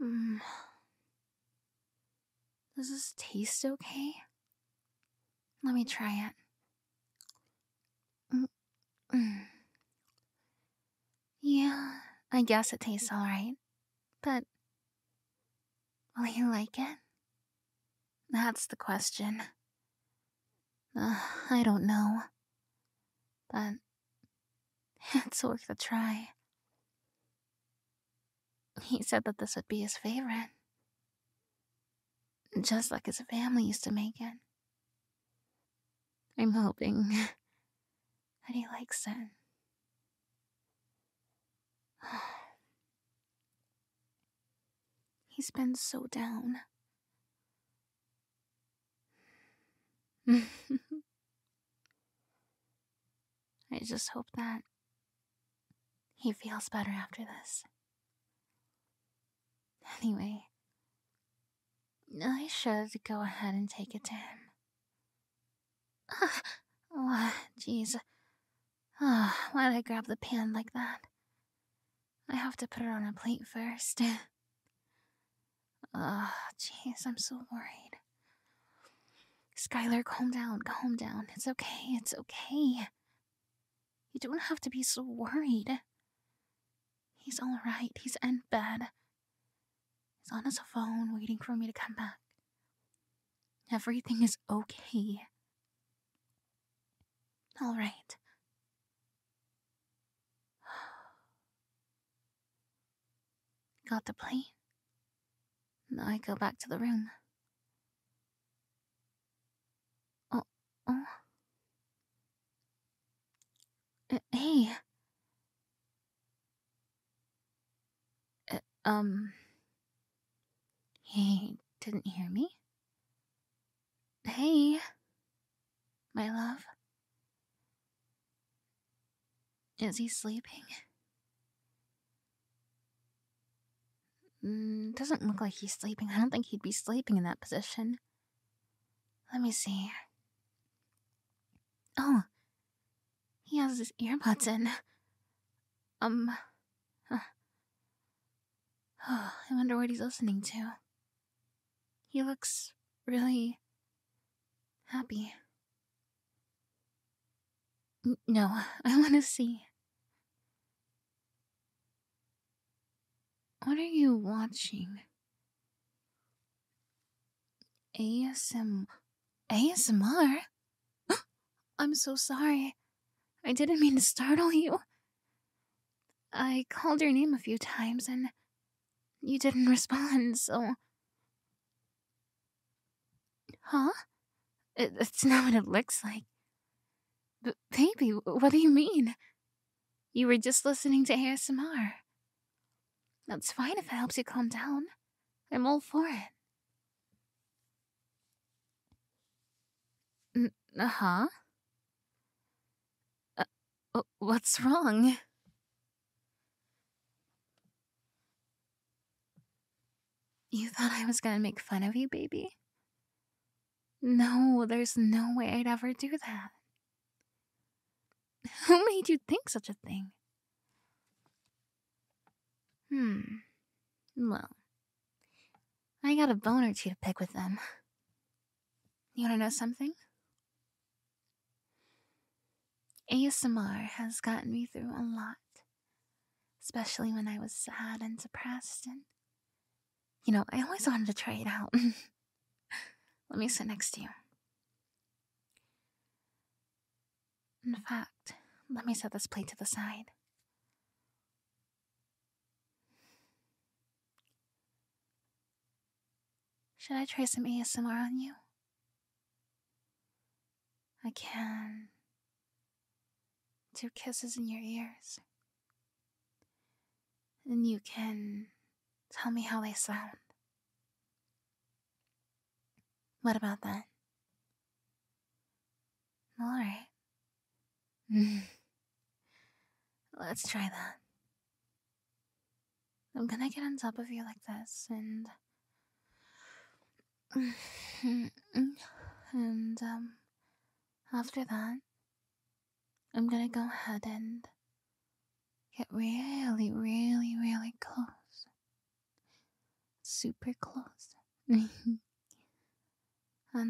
Mm. Does this taste okay? Let me try it. Mm, mm. Yeah, I guess it tastes alright. But will you like it? That's the question. I don't know. But It's worth a try. He said that this would be his favorite. Just like his family used to make it. I'm hoping that he likes it. He's been so down. I just hope that he feels better after this. Anyway, I should go ahead and take it to him. oh, jeez. Oh, why did I grab the pan like that? I have to put it on a plate first. oh, jeez, I'm so worried. Skylar, calm down, calm down. It's okay, it's okay. You don't have to be so worried. He's all right, he's in bed. He's on his phone waiting for me to come back. Everything is okay. All right. Got the plane? I go back to the room. Oh, oh. Uh, hey. Uh, um. He didn't hear me? Hey. My love. Is he sleeping? Mm, doesn't look like he's sleeping. I don't think he'd be sleeping in that position. Let me see. Oh, he has his earbuds in. Um, oh, I wonder what he's listening to. He looks really happy. No, I want to see. What are you watching? ASM. ASMR? I'm so sorry. I didn't mean to startle you. I called your name a few times and you didn't respond, so. Huh? that's not what it looks like. baby, what do you mean? You were just listening to ASMR. That's fine if it helps you calm down. I'm all for it. Uh-huh. uh huh? what's wrong? You thought I was gonna make fun of you, baby? No, there's no way I'd ever do that. Who made you think such a thing? Hmm. Well, I got a bone or two to pick with them. You wanna know something? ASMR has gotten me through a lot, especially when I was sad and depressed. And, you know, I always wanted to try it out. Let me sit next to you. In fact, let me set this plate to the side. Should I try some ASMR on you? I can. do kisses in your ears. And you can tell me how they sound. What about that? Alright. Let's try that. I'm gonna get on top of you like this and and um, after that, I'm gonna go ahead and get really, really, really close. Super close. and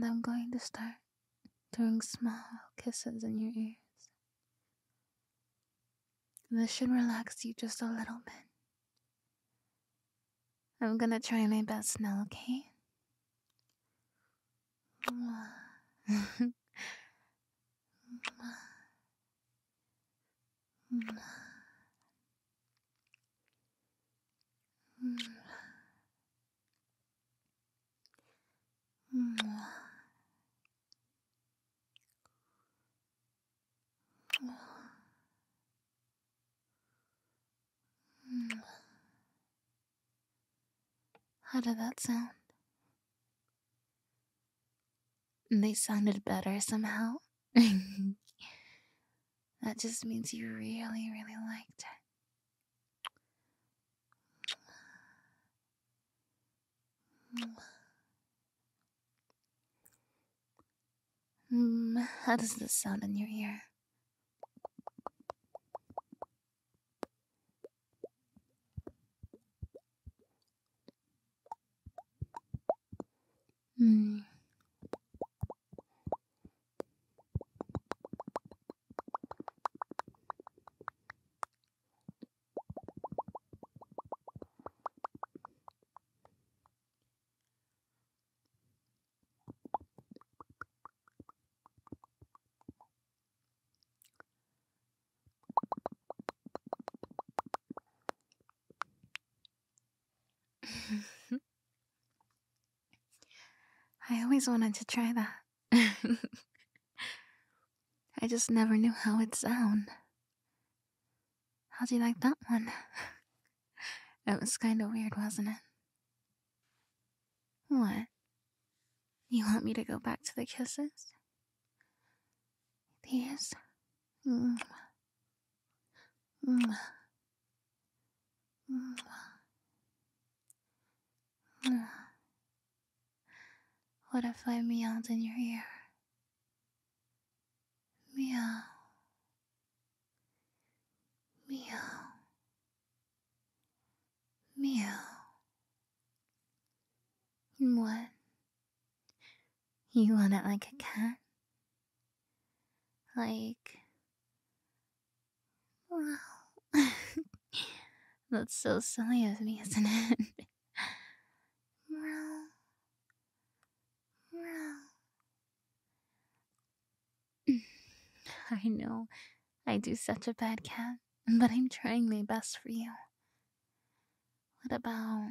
I'm going to start doing small kisses in your ears. This should relax you just a little bit. I'm gonna try my best now, okay? Hmm. How did that sound? They sounded better somehow. that just means you really, really liked it. Mm, how does this sound in your ear? Mm. I always wanted to try that. I just never knew how it sound how do you like that one? it was kinda weird, wasn't it? What? You want me to go back to the kisses? These? Mwah. Mwah. Mwah. What if I meowed in your ear? Meow. Meow. Meow. What? You want it like a cat? Like. Wow. That's so silly of me, isn't it? well, I know I do such a bad cat, but I'm trying my best for you. What about.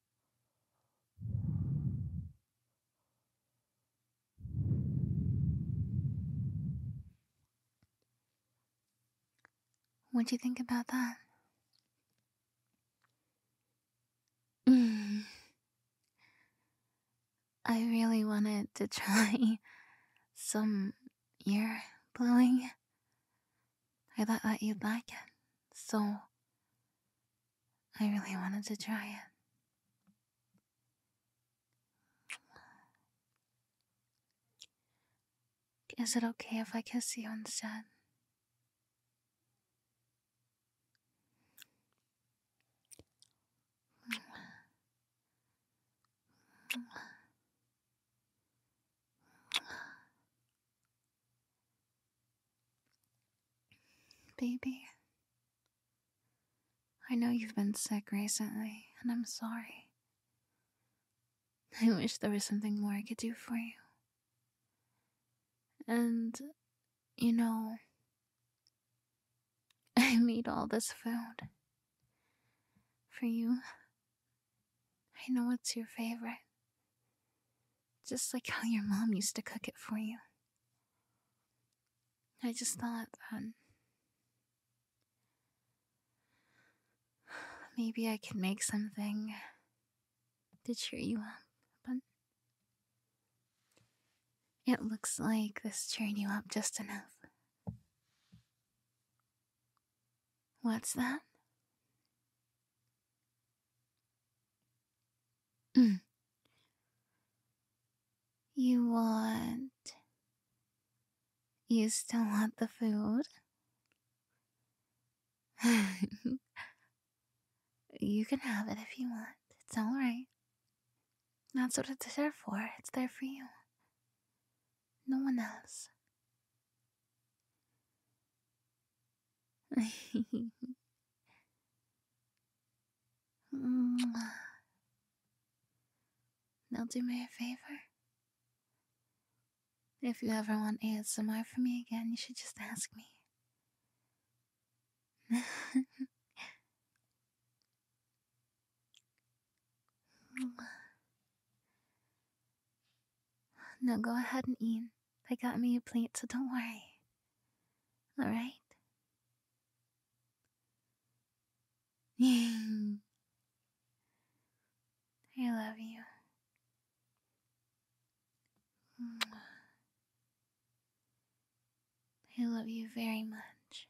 What do you think about that? Mm. I really wanted to try some ear blowing. I thought that you'd like it, so I really wanted to try it. Is it okay if I kiss you instead? Baby, I know you've been sick recently, and I'm sorry. I wish there was something more I could do for you. And, you know, I made all this food for you. I know it's your favorite. Just like how your mom used to cook it for you. I just thought that um, maybe I could make something to cheer you up, but it looks like this cheered you up just enough. What's that? You want. You still want the food? you can have it if you want. It's alright. That's what it's there for. It's there for you. No one else now do me a favor. If you ever want ASMR from me again, you should just ask me. now go ahead and eat. I got me a plant, so don't worry. Alright? I love you. I love you very much.